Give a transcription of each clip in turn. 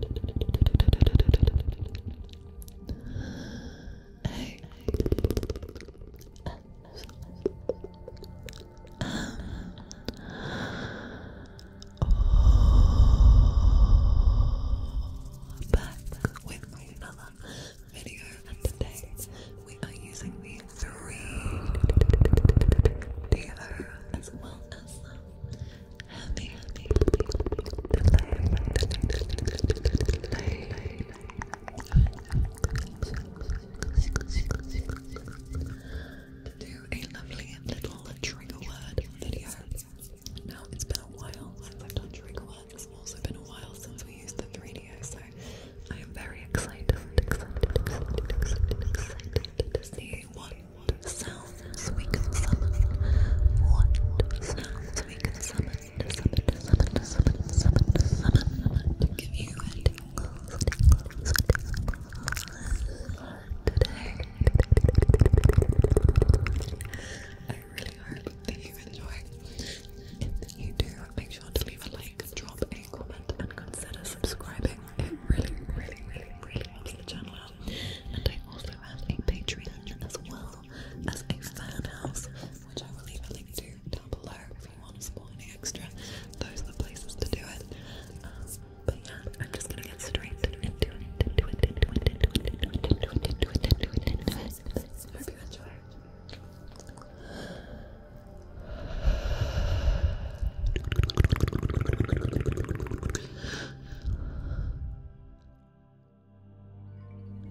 Back with another video, and today we are using the three DO as well as the healthy, healthy, healthy, to do a lovely little trigger word video. Now it's been a while since I've done trigger words. It's also been a while since we used the radio, so I am very excited, sounds we can summon? What sounds we can summon? Summon, summon, summon, summon, summon to give you a tingles, tingles, tingles today. I really hope that you enjoy. If you do, make sure to leave a like, drop a comment, and consider subscribing. It really, really, really, really helps the channel and I also have a Patreon as well as a fan house, which I will leave a link to down below if you want to support any extra. Those are the places to do it. but yeah, I'm just gonna get straight into it,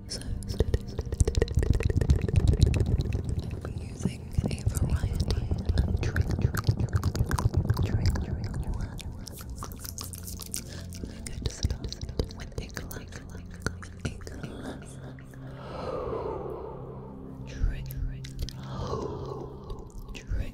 so I'll be using a variety of trigger I'm going to start with a clack, a clack trigger, trigger,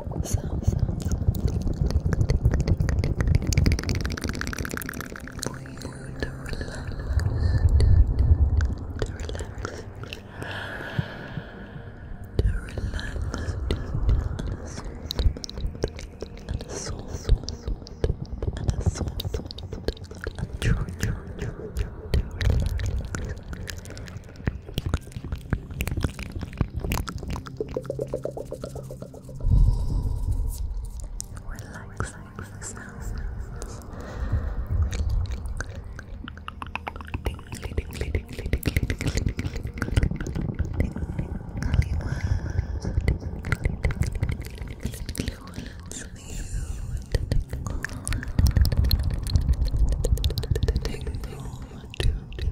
sound, sound, sound for you to relax, to relax, to relax, and a soul, soul, soul, and a soul, soul, and true, true, true, to relax. Relax, relax, sounds. Tingly, tingly, tingly, tingly, tingly, tingly,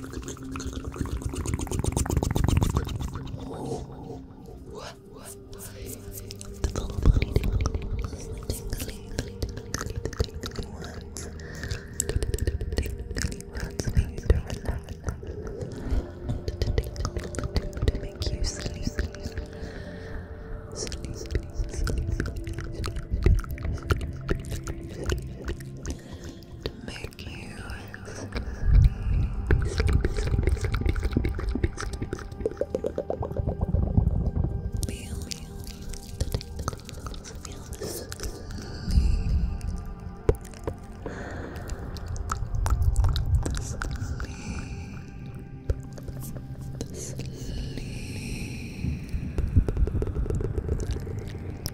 to make Thank you. Feel, feel, feel the sleep. sleep. sleep.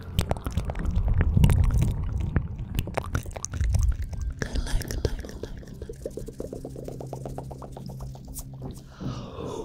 Good luck, good luck, good luck, good luck. Good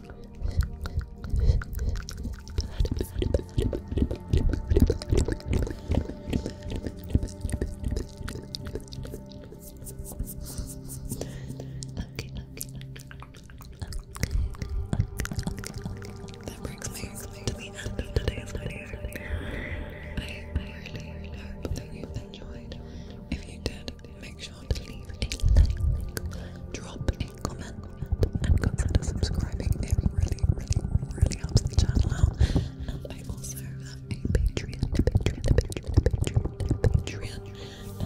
okay, okay. That brings me to the end of today's video. I hope that you enjoyed. If you did, make sure to leave a like, drop comment, and consider subscribing. It really, really, really helps the channel out. I also have a Patreon, Patreon, Patreon, Patreon,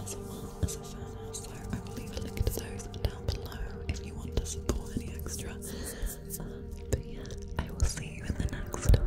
as well as a fan So I will leave a link to those down below if you want to support any extra. Um, but yeah, I will see you in the next video.